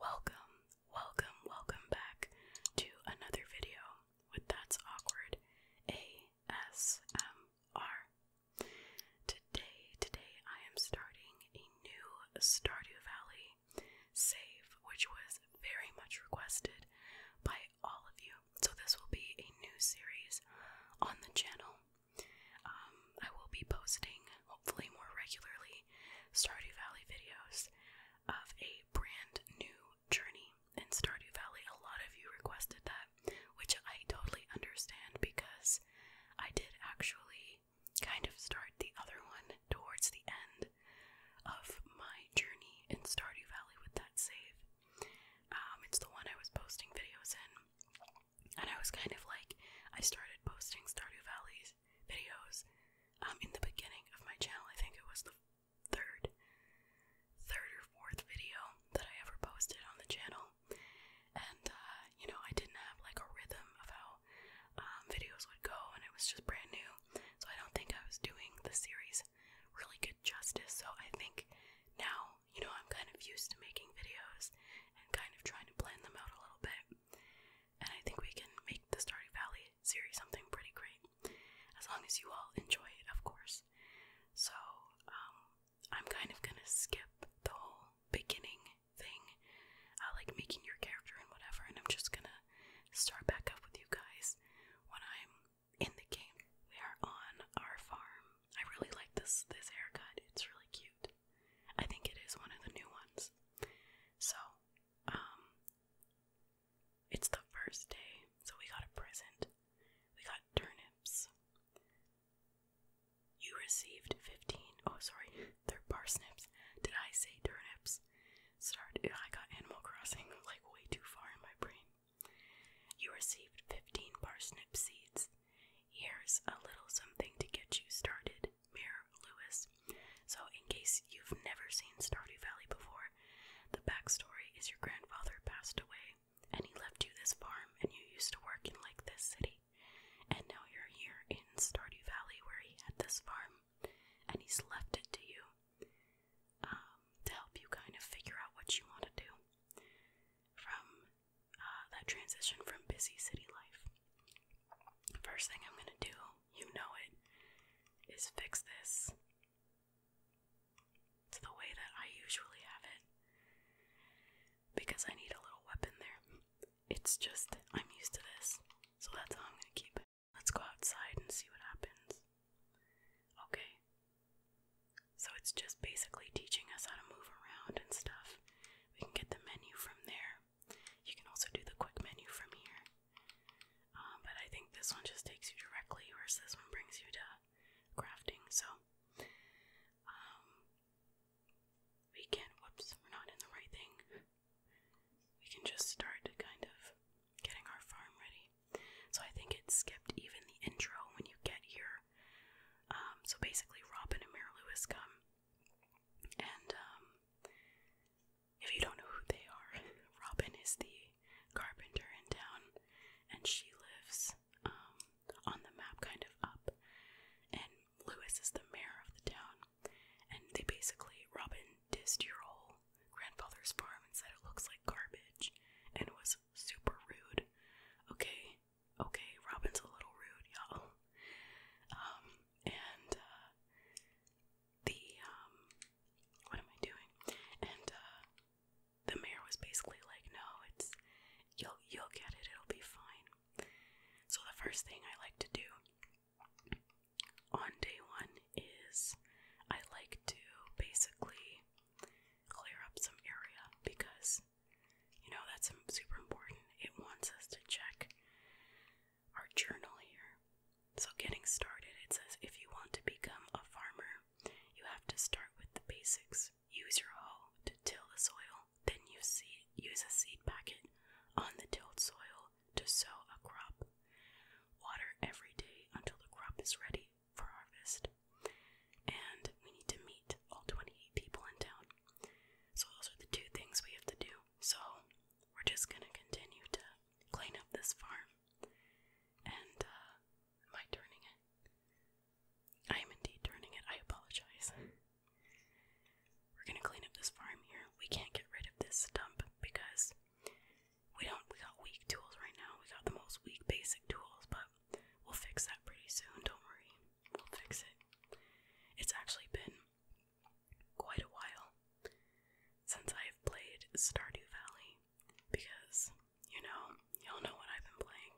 Welcome, welcome, welcome back to another video with That's Awkward ASMR. Today, today I am starting a new Stardew Valley save, which was very much requested by all of you. So, this will be a new series on the channel. Um, I will be posting, hopefully, more regularly, Stardew Valley videos of a brand new journey in Stardew Valley. A lot of you requested that, which I totally understand because I did actually kind of start the other one towards the end of my journey in Stardew Valley with that save. Um, it's the one I was posting videos in, and I was kind of like, I started posting Stardew Valley's videos um, in the beginning of my channel. I think it was the third, third or fourth video that I ever posted on the channel, and uh, you know, I didn't have like a rhythm of how um, videos would go, and it was just brand new. So I don't think I was doing the series really good justice. So I think now, you know, I'm kind of used to making videos and kind of trying to blend them out a little bit. And I think we can make the Stardew Valley series something pretty great. As long as you all enjoy it, of course. So, um, I'm kind of gonna skip the whole beginning thing, uh, like making your character and whatever, and I'm just gonna start back up with you guys when I'm in the game. We are on our farm. I really like this this haircut. It's really cute. I think it is one of the new ones. So, um it's the first day, so we got a present. We got turnips. You received 15. Oh, sorry, they're parsnips. Did I say turnips? Sorry, I got Animal Crossing like way too far in my brain. You received 15 parsnip seeds. Here's a little something to get you started, Mayor Lewis. So, in case you've never seen Stardy Valley before, the backstory is your grandfather passed away and he left you this farm, and you used to work in like this city. And now you're here in Stardy Valley where he had this farm and he's left it to you. Um, to help you kind of figure out what you want to do from uh, that transition from busy city life. First thing I'm gonna do, you know it, is fix this to the way that I usually have it because I need a little weapon there. It's just, I'm used to this, so that's how I'm gonna keep it. Let's go outside and see what happens. Okay, so it's just basically teaching us how to move around and stuff. We can get the menu from there. You can also do the quick menu from here. Um, but I think this one just takes you directly, whereas this one brings you to crafting. So um, we can, whoops, we're not in the right thing. We can just start kind of getting our farm ready. So I think it skipped even the intro when you get here. Um, so basically, Robin and Mary Lewis come, and um, if you don't know who they are, Robin is the carpenter in town, and she lives um, on the map, kind of up, and Lewis is the mayor of the town, and they basically Robin dissed your whole grandfather's farm and said it looks like garbage, and it was super rude. Okay, okay, Robin's a little rude, y'all. Um, and uh, the um, what am I doing? And uh, the mayor was basically like, "No, it's you'll you'll get it. It'll be fine." So the first thing I like to do on day one is I like to basically clear up some area because you know that's super important. It wants us to check our journal here. So, getting started, it says if you want to become a farmer, you have to start with the basics. Use your hoe to till the soil, then you see use a seed packet on the tilled soil to sow a crop. Water every day until the crop is ready for harvest, and we need to meet all 28 people in town. So, those are the two things we have to do. So, we're just gonna continue to clean up this farm. And, uh, am I turning it? I am indeed turning it. I apologize. We're gonna clean up this farm here. We can't get rid of this stump because we don't we got weak tools right now. We got the most weak basic tools, but we'll fix that pretty soon, don't worry. We'll fix it. It's actually been quite a while since I've played Stardew Valley because, you know, y'all know what I've been playing.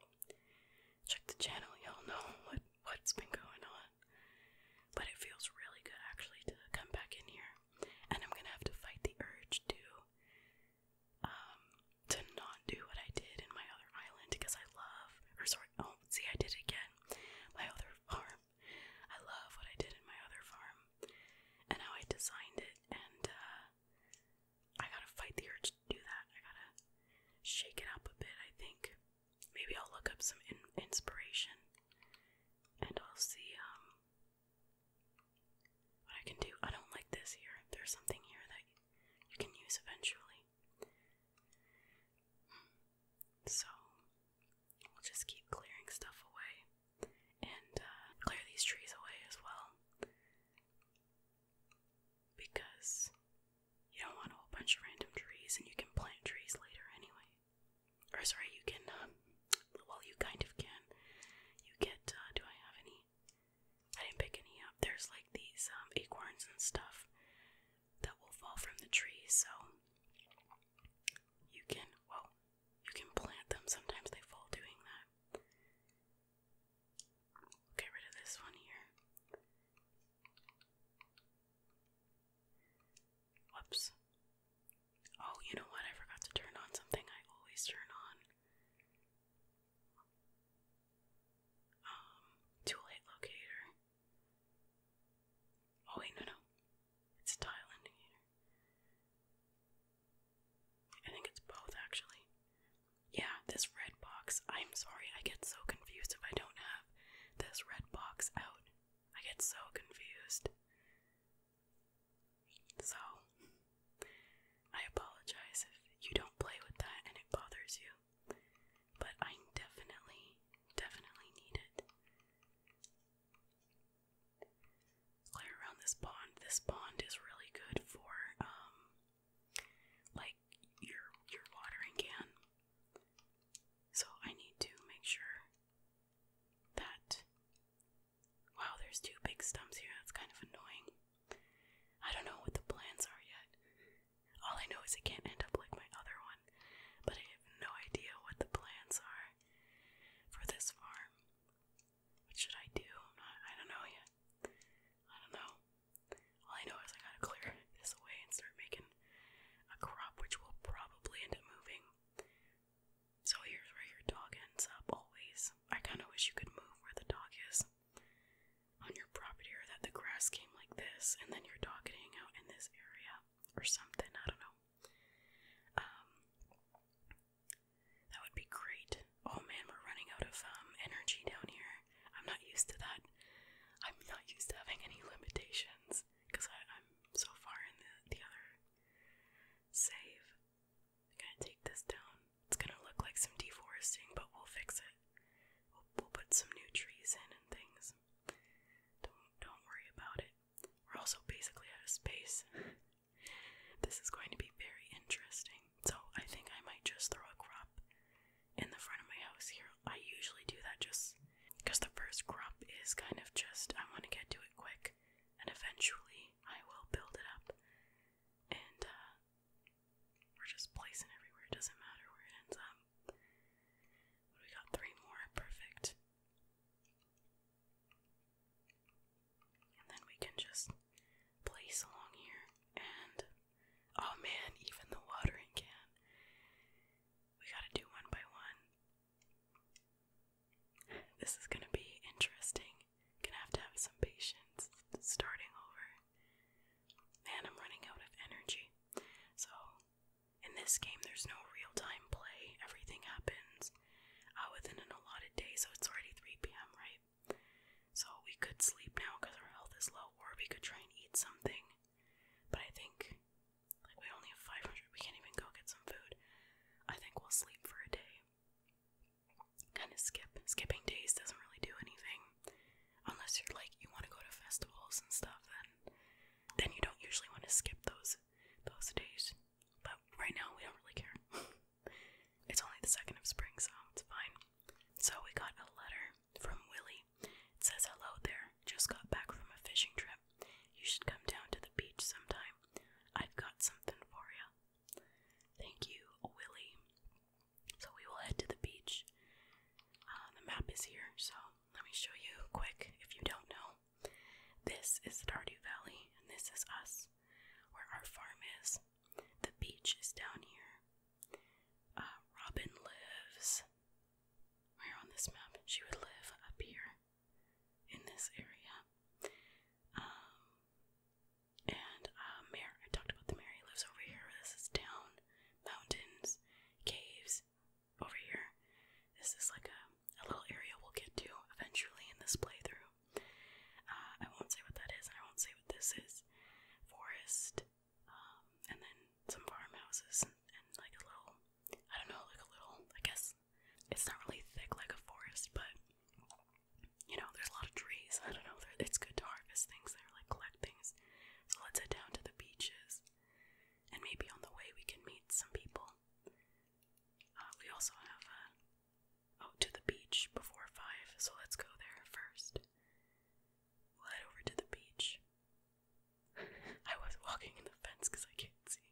Check the channel, y'all know what what's been going on. But it feels really good actually to come back in here. And I'm gonna have to fight the urge to um, to not do what I did in my other island because I love, or sorry, oh, see, I did it again. My other farm. I love what I did in my other farm and how I designed it, and uh, I gotta fight the urge to do that. I gotta shake it up a bit, I think. Maybe I'll look up some inspiration and I'll see, um, what I can do, I don't like this here. There's something here that you can use eventually. So, we'll just keep clearing stuff away and uh, clear these trees away as well. Because you don't want a whole bunch of random trees and you can plant trees later anyway. Or, sorry, you can um, well, you kind of can. You get, uh, do I have any? I didn't pick any up. There's like these um, acorns and stuff that will fall from the tree, so you can, well, you can plant them. Sometimes they fall doing that. Get rid of this one here. Whoops. Oh, you know what? I forgot to turn on something I always turn on. Um, toolkit locator. Oh wait, no, no. It's a tile indicator. I think it's both actually. Yeah, this red box. I'm sorry, I get so confused if I don't have this red box out. I get so confused. So, I apologize if you don't play with that and it bothers you, but I definitely, definitely need it. Clear around this pond. This pond is really good for, um, like your your watering can. So I need to make sure that Wow, there's two big stumps here. That's kind of annoying. I don't know what the plans are yet. All I know is it can't end up like my other one, but I have no idea what the plans are for this farm. What should I do? I don't know yet. I don't know. All I know is I gotta clear this away and start making a crop, which will probably end up moving so here's where your dog ends up always. I kind of wish you could move where the dog is on your property or that the grass came like this and then your dog could out in this area or something. I don't know. Um, that would be great. Oh man, we're running out of um, energy down here. I'm not used to that. I'm not used to having any limitations because I'm so far in the, the other save. I'm gonna take this down. It's gonna look like some deforesting, but we'll fix it. we'll put some new trees in and things. Don't don't worry about it. We're also basically out of space. this is going to be very interesting. So I think I might just throw a crop in the front of my house here. I usually do that just because the first crop is kind of just I want to get to it quick and eventually I will build it up. And uh, we're just placing everywhere, it doesn't matter where it ends up. We got three more, perfect. And then we can just place along here. And oh man, even the watering can. We gotta do one by one. This is gonna be interesting. Gonna have to have some patience starting over. Man, I'm running out of energy. So, in this game, there's no real time play, everything happens uh, within an allotted day, so it's already 3 p.m., right? So, we could sleep now because our health is low, or we could try and eat something. But I think, like, we only have 500, we can't even go get some food. I think we'll sleep for a day kind of skip. Skipping days doesn't really do anything. Unless you're like you want to go to festivals and stuff, then then you don't usually want to skip those those days. But right now we don't really care. it's only the second of spring, so it's fine. So we got a letter from Willie. It says, Hello there. Just got back from a fishing trip. You should come down to the beach sometime. I've got something for you. Thank you, Willie. So we will head to the beach. Uh, the map is here, so let me show you quick if you don't know. This is the Tardu Valley, and this is us, where our farm is. The beach is down here. Uh, Robin lives. Where on this map? She would live up here in this area. Um, and uh, I talked about the Mary lives over here. This is down mountains, caves over here. This is like a, a little area we'll get to eventually in this playthrough. Uh, I won't say what that is, and I won't say what this is. Forest, um, and then some farmhouses, and like a little, I don't know, like a little, I guess, it's not really thick like a forest, but you know, there's a lot of trees. I don't know. It's good to harvest things there, like collect things. So let's head down to the beaches, and maybe on the way we can meet some people. Uh, we also have uh, oh to the beach before five, so let's go there first. We'll head over to the beach. I was walking in the fence because I can't see.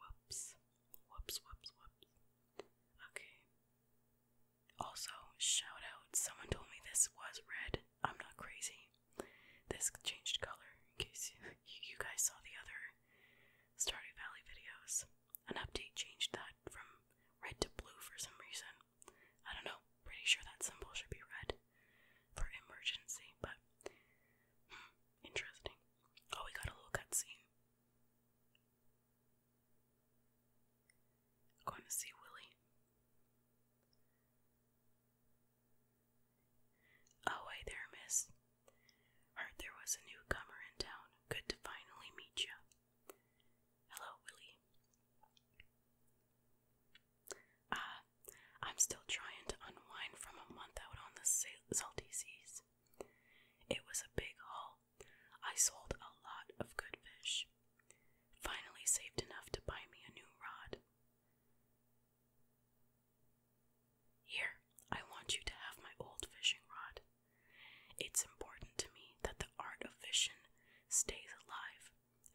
Whoops. Whoops, whoops, whoops. Okay. Also, shout out. Someone told me this was red. I'm not crazy. This changed color in case you, you guys saw the other Stardew Valley videos. An update changed that from red to blue for some reason. I don't know. Pretty sure that symbol should be red for emergency, but hmm, interesting. Oh, we got a little cutscene. Going to see Willie. Oh, hey there, miss. Heard there was a newcomer in town. Good to finally meet you. Hello, Willie. Ah, I'm still trying to unwind from a month out on the salty seas. It was a big haul. I sold a lot of good fish. Finally saved enough to buy me a new rod. Here, I want you to have my old fishing rod. It's important to me that the art of fishing stays alive,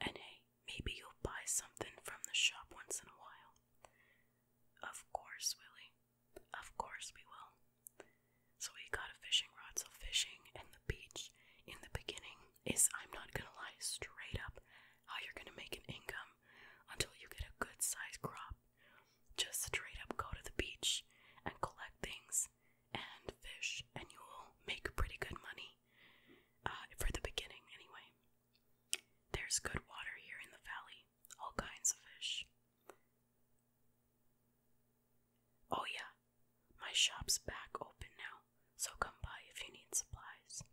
and hey, maybe you'll buy something from the shop once in a while. Of course, Willie. Of course we will. So we got a fishing rod. So fishing and the beach in the beginning is, I'm not gonna lie, straight up how you're gonna make an income until you get a good sized crop. Just straight up go to the beach and collect things and fish, and you will make pretty good money uh, for the beginning, anyway. There's good water here in the valley all kinds of fish. Oh, yeah, my shop's back open now, so come by if you need supplies.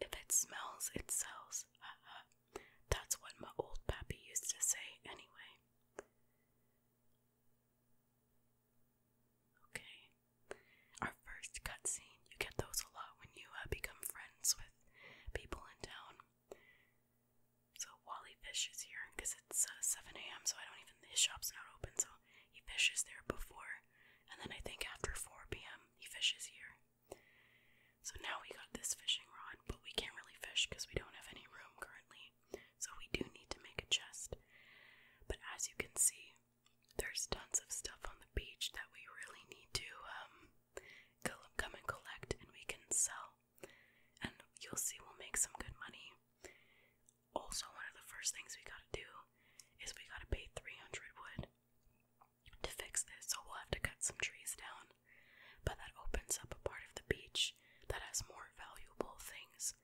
If it smells, it sells. Haha. That's what my old pappy used to say, anyway. Okay, our first cutscene you get those a lot when you uh, become friends with people in town. So Wally fishes here because it's uh, 7 a.m. So I don't even his shop's not open. So he fishes there before, and then I think after 4 p.m. he fishes here. So now we got this fishing rod, but we can't really fish because we don't have any room currently. So we do need to make a chest. But as you can see, there's tons of stuff on the beach that we really need to um come and collect and we can sell and you'll see we'll make some good money also one of the first things we gotta do is we gotta pay 300 wood to fix this so we'll have to cut some trees down but that opens up a part of the beach that has more valuable things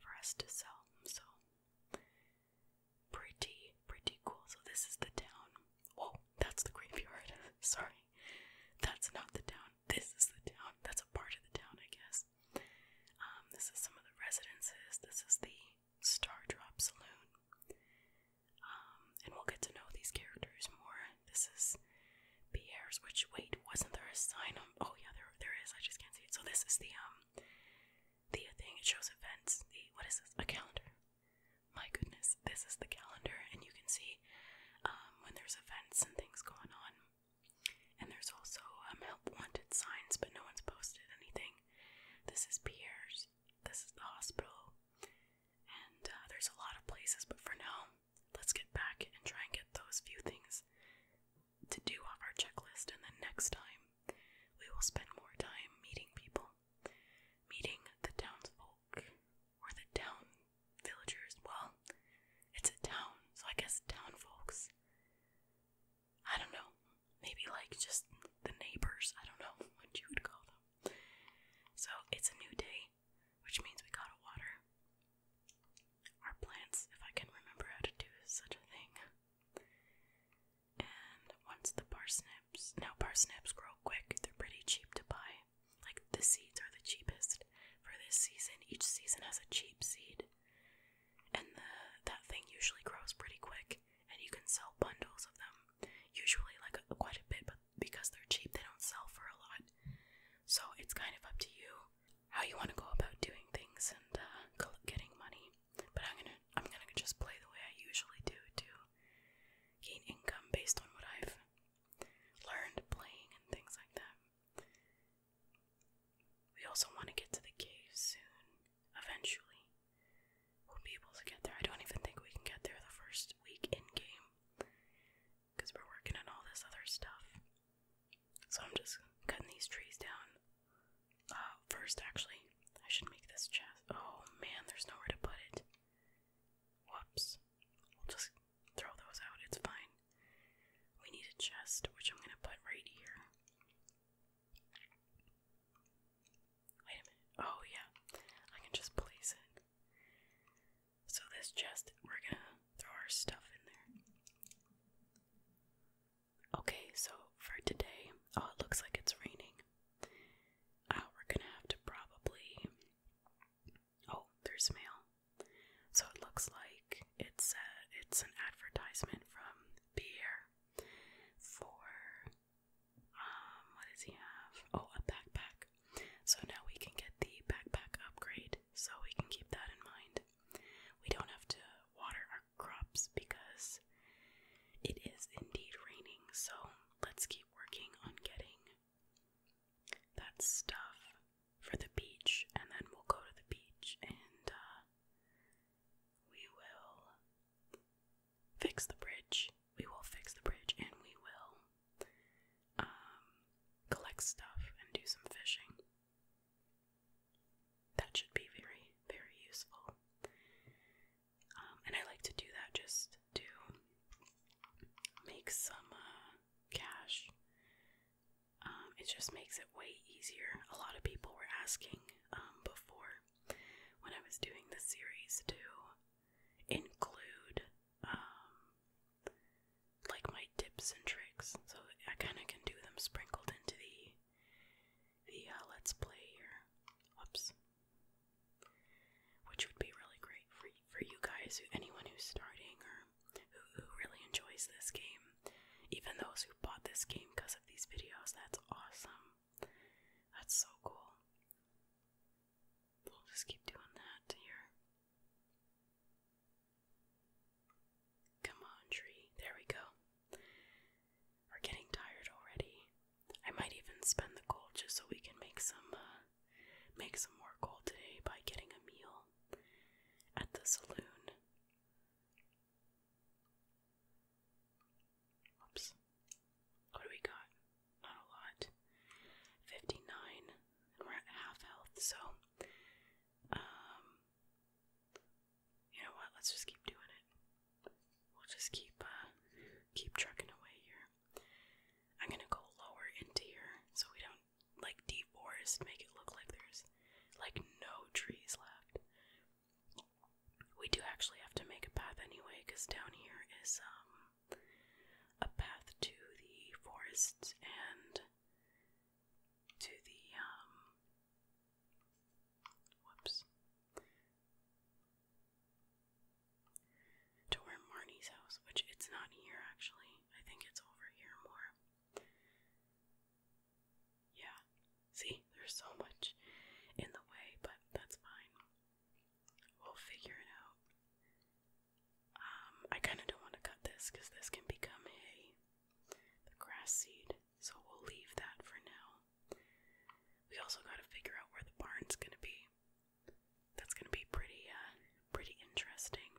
for us to sell so pretty pretty cool so this is the town Whoa, that's the graveyard. Sorry. That's not the town. This is the town. That's a part of the town, I guess. Um, this is some of the residences. This is the Star Drop Saloon. Um, and we'll get to know these characters more. This is Pierre's, which, wait, wasn't there a sign on? Oh, yeah, there, there is. I just can't see it. So this is the, um, the thing. It shows events. what is this? A calendar my goodness, this is the calendar, and you can see um, when there's events and things going on. And there's also um, help wanted signs, but no one's posted anything. This is Pierre's, this is the hospital, and uh, there's a lot of places, but for now, let's get back and try and get those few things to do off our checklist, and then next time we will spend more time meeting people meeting the townsfolk or the town villagers. Well, it's a town, so I guess town folks. I don't know. Maybe like just the neighbors. I don't know what you would call them. So it's a new day, which means we gotta water our plants if I can remember how to do such a thing. And once the parsnips, now parsnips grow quick, they're pretty cheap to buy. Like the seeds are the cheapest for this season. Each season has a cheap seed. And the that thing usually grows pretty quick and you can sell bundles of them. Usually like a, quite a bit, but because they're cheap, they don't sell for a lot. So it's kind of up to you how you want to go about doing things and uh, getting money. But I'm going to I'm going to just play the way I usually do too gain income based on what I've learned playing and things like that. We also want to get to the cave soon, eventually. We'll be able to get there. I don't even think we can get there the first week in game because we're working on all this other stuff. So I'm just cutting these trees down. Uh, first, actually, I should make this chest. Oh man, there's nowhere to put it. Whoops. We'll just throw those out, it's fine. We need a chest, which I'm gonna put right here. Wait a minute. Oh, yeah. I can just place it. So, this chest, we're gonna throw our stuff in there. Okay, so for today, oh, it looks like it's raining. Uh, we're gonna have to probably. Oh, there's mail. So it looks like it's a, uh, it's an advertisement from Pierre for um what does he have? Oh, a backpack. So now we can get the backpack upgrade, so we can keep that in mind. We don't have to water our crops because it is indeed raining, so let's keep working on getting that stuff for the beach, and then we'll go to the beach and uh, we will fix the bridge. We will fix the bridge and we will um, collect stuff and do some fishing. That should be very, very useful. Um, and I like to do that just to make some uh, cash. Um, it just makes it way easier. A lot of people were asking um, before when I was doing the series to include like my tips and tricks, so I kind of can do them sprinkled into the the uh, let's play here. Whoops which would be really great for for you guys, who, anyone who's starting or who, who really enjoys this game. Even those who bought this game because of these videos, that's awesome. That's so cool. We'll just keep doing that here. Come on, tree. There we go. We're getting tired already. I might even spend the gold just so we can make some uh, make some more gold today by getting a meal at the saloon. Whoops. What do we got? Not a lot. 59, and we're at half health, so, um, you know what? Let's just keep doing it. We'll just keep uh, keep trucking away here. I'm gonna go lower into here so we don't like deforest, make it look like there's like no trees left. We do actually have to make a path anyway, because down here is um a path to the forest and to the um whoops to where Marnie's house, which it's not here actually. I think it's over here more. Yeah, see, there's so much in the way, but that's fine. We'll figure it out. Um, I kind of don't want to cut this because this can become hay, the grass seed, so we'll leave that for now. We also got to figure out where the barn's going to be. That's going to be pretty uh, pretty interesting.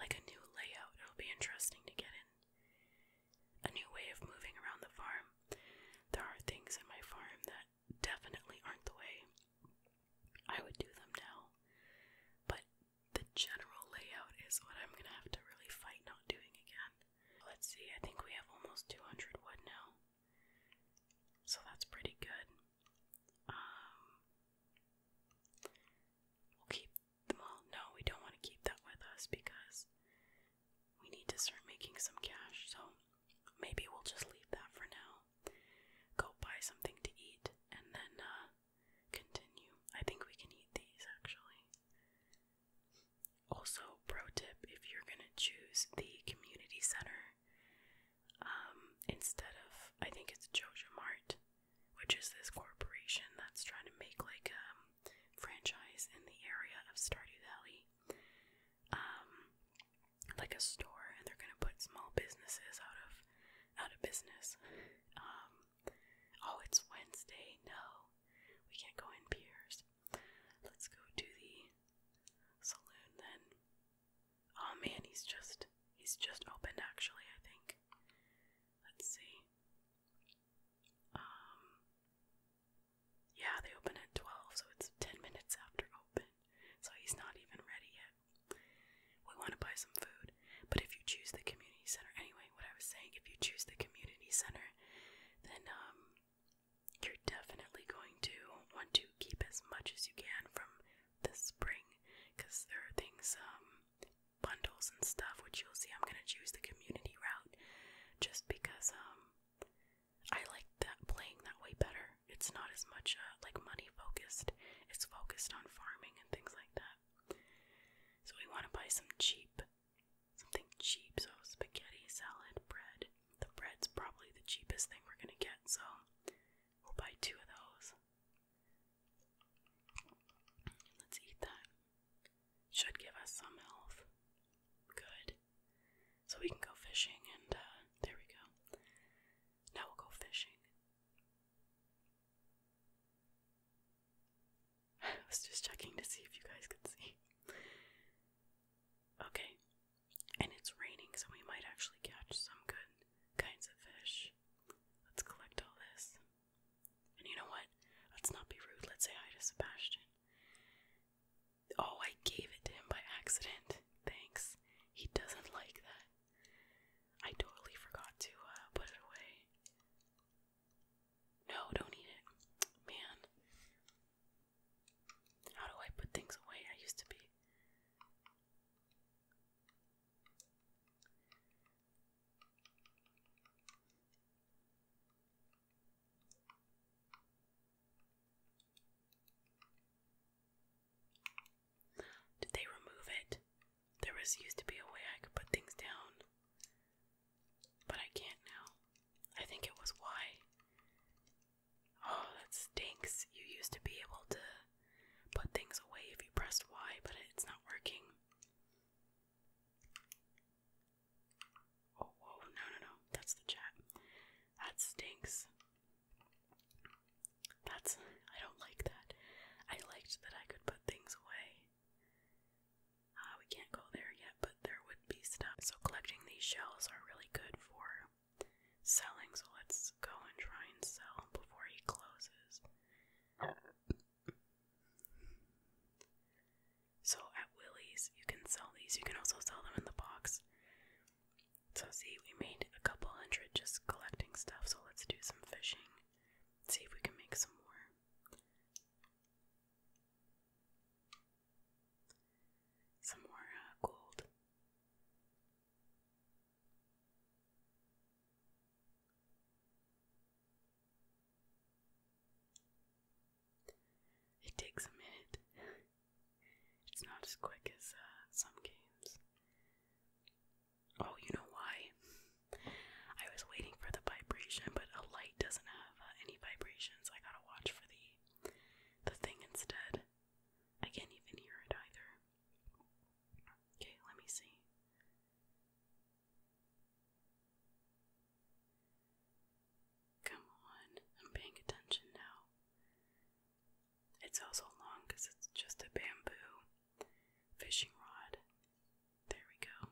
Like a new layout. It'll be interesting to get in. A new way of moving around the farm. There are things in my farm that definitely aren't the way I would do them now. But the general layout is what I'm going to have to really fight not doing again. Let's see. I think we have almost 200 wood now. So that's pretty good. Um, we'll keep them all. No, we don't want to keep that with us because we need to start making some cash. So maybe we'll just leave that for now. Go buy something to eat and then uh, continue. I think we can eat these actually. Also, pro tip if you're going to choose the community center um, instead of, I think it's Jojo Mart, which is this corporation that's trying to make like a um, franchise in the area of Stardew Valley, um, like a store, and they're going to put small businesses out of out of business. oh, it's Wednesday. No, we can't go in Piers. Let's go to the saloon then. Oh man, he's just he's just opened actually, I think. Let's see. Um Yeah, they open at 12, so it's 10 minutes after open. So he's not even ready yet. We want to buy some food, but if you choose the community center anyway, what I was saying, if you choose the community center, then um you're definitely going to want to keep as much as you can from this spring because there are things, um, bundles and stuff, which you'll see. I'm going to choose the community route just because, um, I like that playing that way better. It's not as much, uh, like money focused, it's focused on farming and things like that. So we want to buy some cheap something cheap, so spaghetti, salad, bread. The bread's probably the cheapest thing we're gonna get, so we'll buy two of those. Let's eat that. Should give us some health. Good. So we can go fishing, and uh, there we go. Now we'll go fishing. I was just checking to see if you guys could see. Okay. And it's raining, so we might actually catch some good kinds of fish. Let's collect all this. And you know what? Let's not be rude. Let's say hi to Sebastian. Oh, I gave it to him by accident. Thanks. He doesn't like that. I totally forgot to uh, put it away. No, don't eat it. Man. How do I put things away? I used to be. Did they remove it? There was used to be a way I could put things down. But I can't now. I think it was why. Oh, that stinks. You used to be able to put things away if you pressed Y, but it's not working. Oh, no, no, no. That's the chat. That stinks. That's. I don't like that. I liked that I could put things away. Uh, we can't go there yet, but there would be stuff. So collecting these shells are really good for selling. So let's go and try and sell before he closes. So at Willie's, you can sell these. You can also sell them in the box. So see, we made a couple hundred just collecting stuff. So let's do some fishing. See if we can make some more. Some more uh, gold. It takes a minute. it's not as quick as uh, some games. Oh, you know why? I was waiting for the vibration, but a light doesn't have any vibrations. I gotta watch for the the thing instead. I can't even hear it either. Okay, let me see. Come on, I'm paying attention now. It's also long because it's just a bamboo fishing rod. There we go.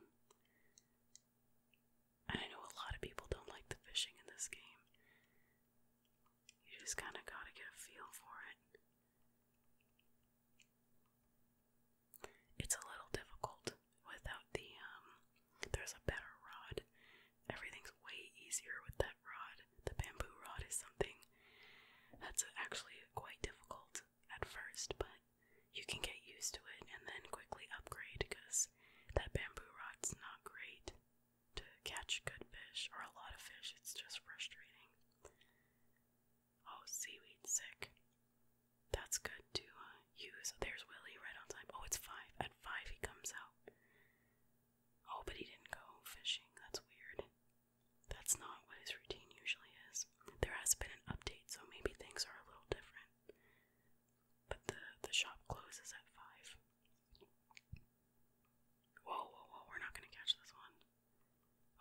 I know a lot of people don't like the fishing in this game. You just kind of gotta get a feel for it. It's a little difficult without the, um, there's a better rod. Everything's way easier with that rod. The bamboo rod is something that's actually quite difficult at first, but you can get used to it and then quickly upgrade because that bamboo rod's not great to catch good fish or a lot of fish. It's just frustrating. Oh, seaweed sick. That's good to uh, use. Oh, there's Willie right on time. Oh, it's five. At five, he comes out. Oh, but he didn't go fishing. That's weird. That's not what his routine usually is. There has been an update, so maybe things are a little different but the the shop closes at five. Whoa, whoa, whoa! We're not gonna catch this one.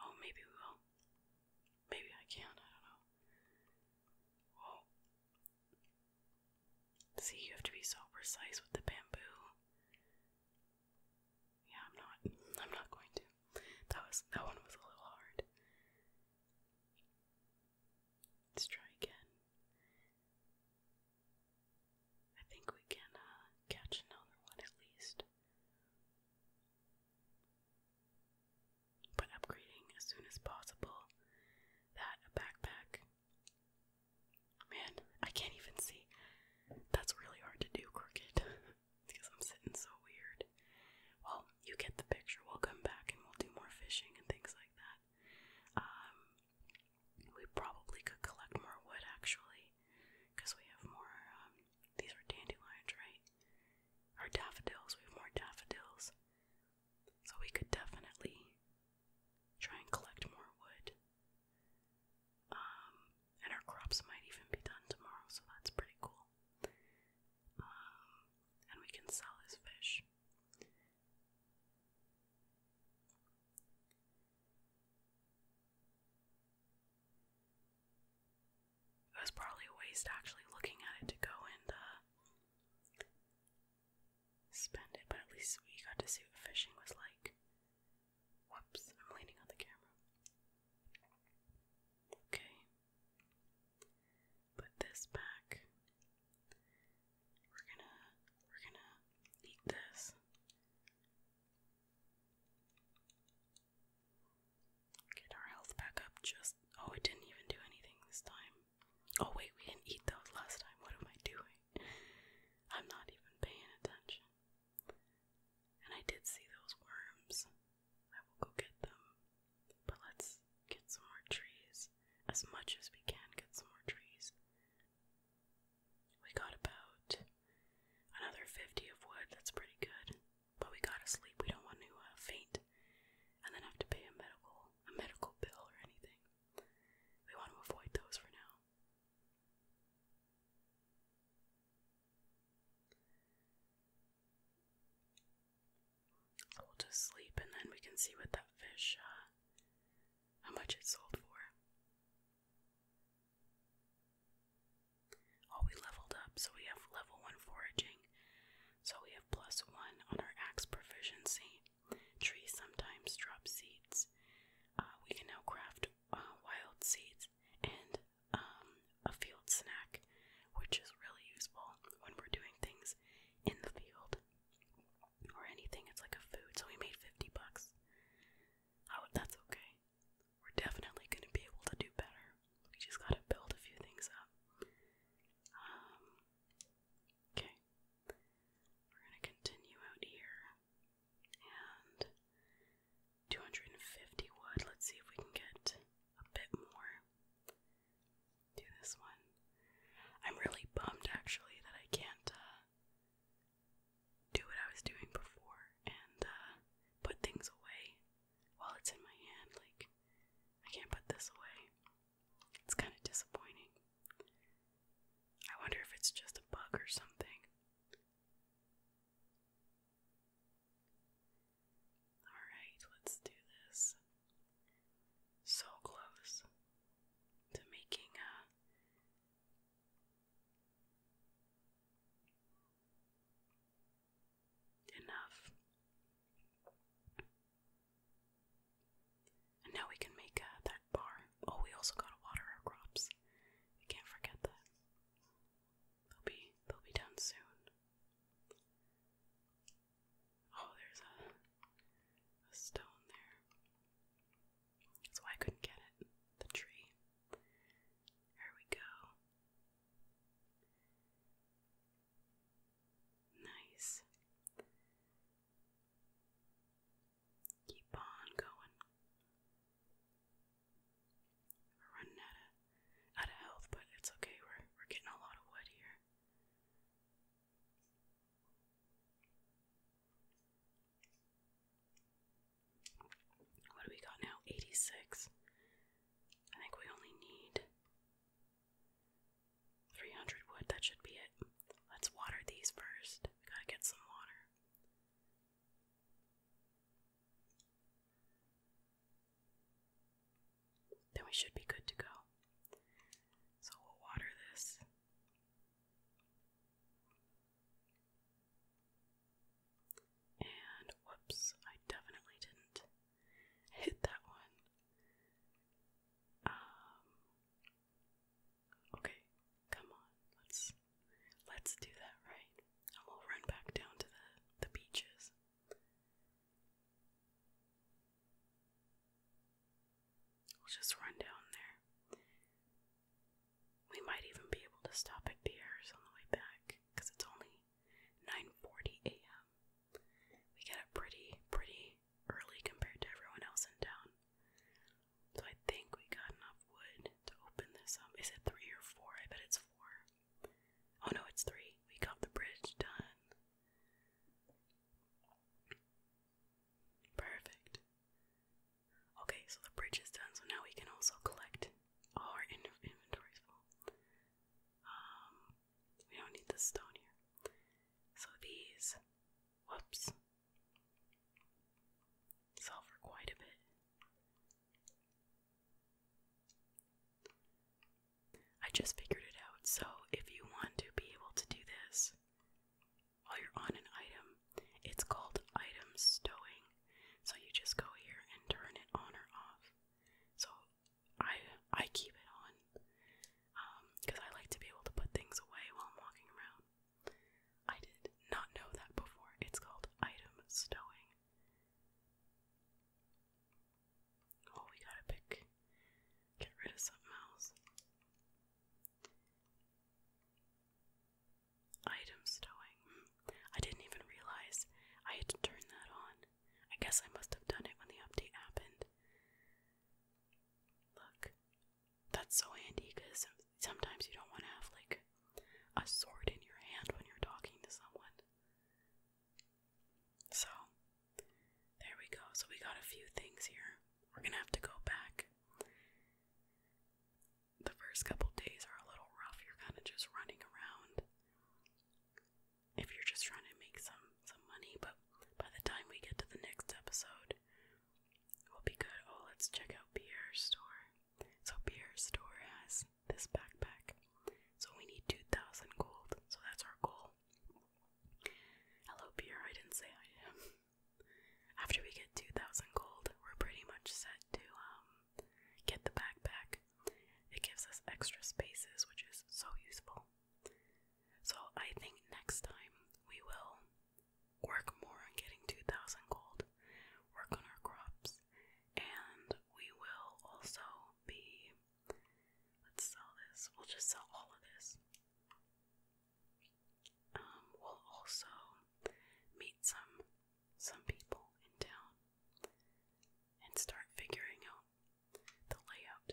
Oh, maybe we will. Maybe I can. I don't know. Whoa! See, you have to be so precise with the bamboo. Yeah, I'm not. I'm not going to. That was that one was a little hard. Let's try again. I think we can uh, catch another one at least. But upgrading as soon as possible that backpack. Man, I can't even see. That's really hard to do, crooked, because I'm sitting so weird. Well, you get the picture. We'll come back and we'll do more fishing and things like that. Um, we probably could collect more wood actually, because we have more. Um, these are dandelions, right? Our daffodils. We have more daffodils, so we could definitely try and collect more wood. Um, and our crops might even be done tomorrow, so that's pretty cool. Um, and we can sell his fish. It was probably a waste actually looking at it to go and uh, spend it, but at least we got to see what fishing was like. Whoops, I'm leaning on the camera. Okay put this back. We're gonna we're gonna eat this. Get our health back up just oh it didn't even do anything this time. Oh wait, we didn't eat those last time. What am I doing? I'm not even paying attention. And I did see those worms. I will go get them. But let's get some more trees. As much as we can, get some more trees. We got about another 50 of wood. That's pretty good. But we gotta sleep. We don't want to uh, faint and then have to pay a medical a medical bill or anything. We want to avoid those for now. We'll just sleep and then we can see what that fish, uh, how much it sold for. Oh, we leveled up, so we have level 1 foraging. So we have plus 1 on our axe proficiency. Trees sometimes drop seeds. Uh, we can now craft uh, wild seeds and um, a field snack, which is really useful when we're doing things in the field or anything. It's like a food, so we made 50 bucks. Oh, that's okay. We're definitely going to be able to do better. We just got to build a few things up. Um, okay. We're going to continue out here. And 250 wood. Let's see if we can get a bit more do this one. I'm really bummed actually that I can't uh, do what I was doing before and uh, put things away while it's in my hand. Like, I can't put this away. It's kind of disappointing. I wonder if it's just a bug or something. Alright, let's do this. So close to making a enough. And now we can make uh, that bar. Oh, we also gotta water our crops. We can't forget that. They'll be they'll be done soon. Oh, there's a, stone there. That's I couldn't get it. The tree. There we go. Nice. Keep on going. We're running out of out of health, but it's okay. We're we're getting a lot of wood here. What do we got now? 86. I think we only need 300 wood. That should be it. Let's water these first. gotta get some water then we should be good to go. So we'll water this. And whoops, I definitely didn't hit that one. Um Okay, come on. Let's let's do that right. And we'll run back down to the the beaches. We'll just run down there. We might even be able to stop at Pierre's on the way back because it's only 9:40 a.m. We get up pretty, pretty early compared to everyone else in town. So I think we got enough wood to open this up. Is it three or four? I bet it's four. Oh no, it's three. We got the bridge done. Perfect. Okay, so the bridge is done, so now we can also collect our in um, we don't need the stone here. So these, whoops, sell for quite a bit. I just figured it out. So, if you want to be able to do this while you're on an item, it's called item stowing. So, you just go here and turn it on or off. So, I I keep it on because um, I like to be able to put things away while I'm walking around. I did not know that before. It's called item stowing. Oh, we gotta pick. Get rid of something else. Item stowing. I didn't even realize I had to turn that on. I guess I must have done it when the update happened. Look, that's so handy because sometimes you don't want to have like a sword in your hand when you're talking to someone. So, there we go. So, we got a few things here. We're gonna have to go back. The first couple days are a little rough. You're kind of just running around if you're just trying to make some some money. But by the time we get to the next episode, we'll be good. Oh, let's check out Pierre's store. So Pierre's store has this backpack. So we need 2,000 gold. So that's our goal. Hello, Pierre. I didn't say I am. After we get 2,000 gold, we're pretty much set to um, get the backpack. It gives us extra spaces, which is so useful. So I think next time we will work more on getting 2,000 gold, work on our crops, and we will also be Let's sell this. We'll just sell all of this. Um, we'll also meet some some people in town and start figuring out the layout.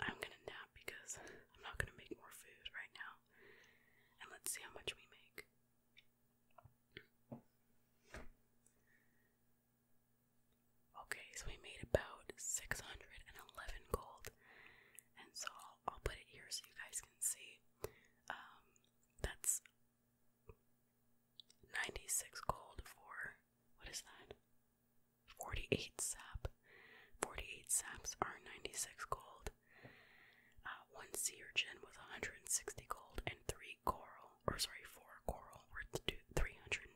I'm gonna nap because I'm not gonna make more food right now. And let's see how much we make. Okay, so we made about 611 gold, and so I'll, put it here so you guys can see. Um, that's 96 gold for what is that? 48 sap. 48 saps are 96 gold. Uh, one sea urchin was 160 gold, and three coral, or sorry, four coral worth to 320.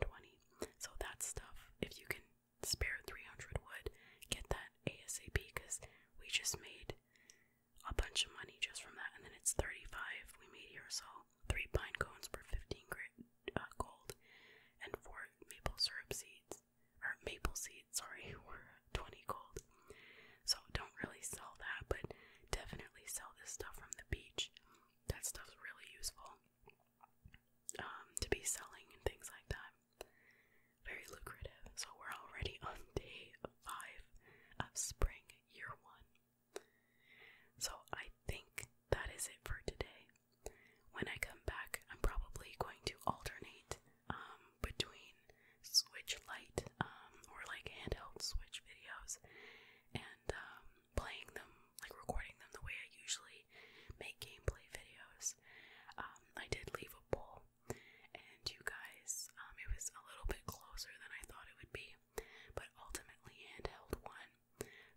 So that stuff, if you can spare 300 wood, get that ASAP because we just made a bunch of money just from that, and then it's 35 we made here. So three pine cones for 15 uh, gold, and four maple syrup seeds, or maple seeds, sorry, were 20 gold. So don't really sell that, but definitely sell this stuff from the beach that stuff's really useful um, to be selling and things like that. Very lucrative. So we're already on day five of spring, year one. So I think that is it for today. When I come back, I'm probably going to alternate um, between Switch light, um, or like handheld Switch videos and um, playing them, like recording them the way I usually make gameplay videos. Um, I did leave a poll, and you guys, um, it was a little bit closer than I thought it would be, but ultimately handheld won.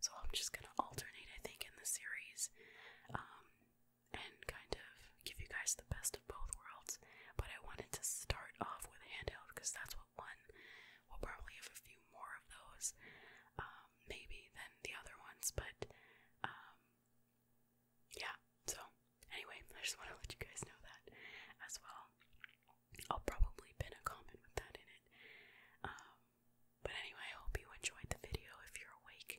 So I'm just gonna alternate, I think, in the series, um, and kind of give you guys the best of both worlds. But I wanted to start off with handheld because that's what one. We'll probably have a few more of those, um, maybe than the other ones, but um, yeah. So, anyway, I just want to let you guys know that as well. I'll probably pin a comment with that in it. Um, but anyway, I hope you enjoyed the video. If you're awake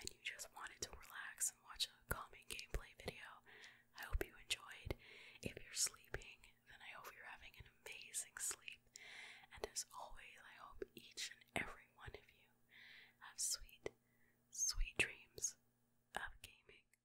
and you just wanted to relax and watch a calming gameplay video, I hope you enjoyed. If you're sleeping then I hope you're having an amazing sleep. And as always, I hope each and every one of you have sweet, sweet dreams of gaming.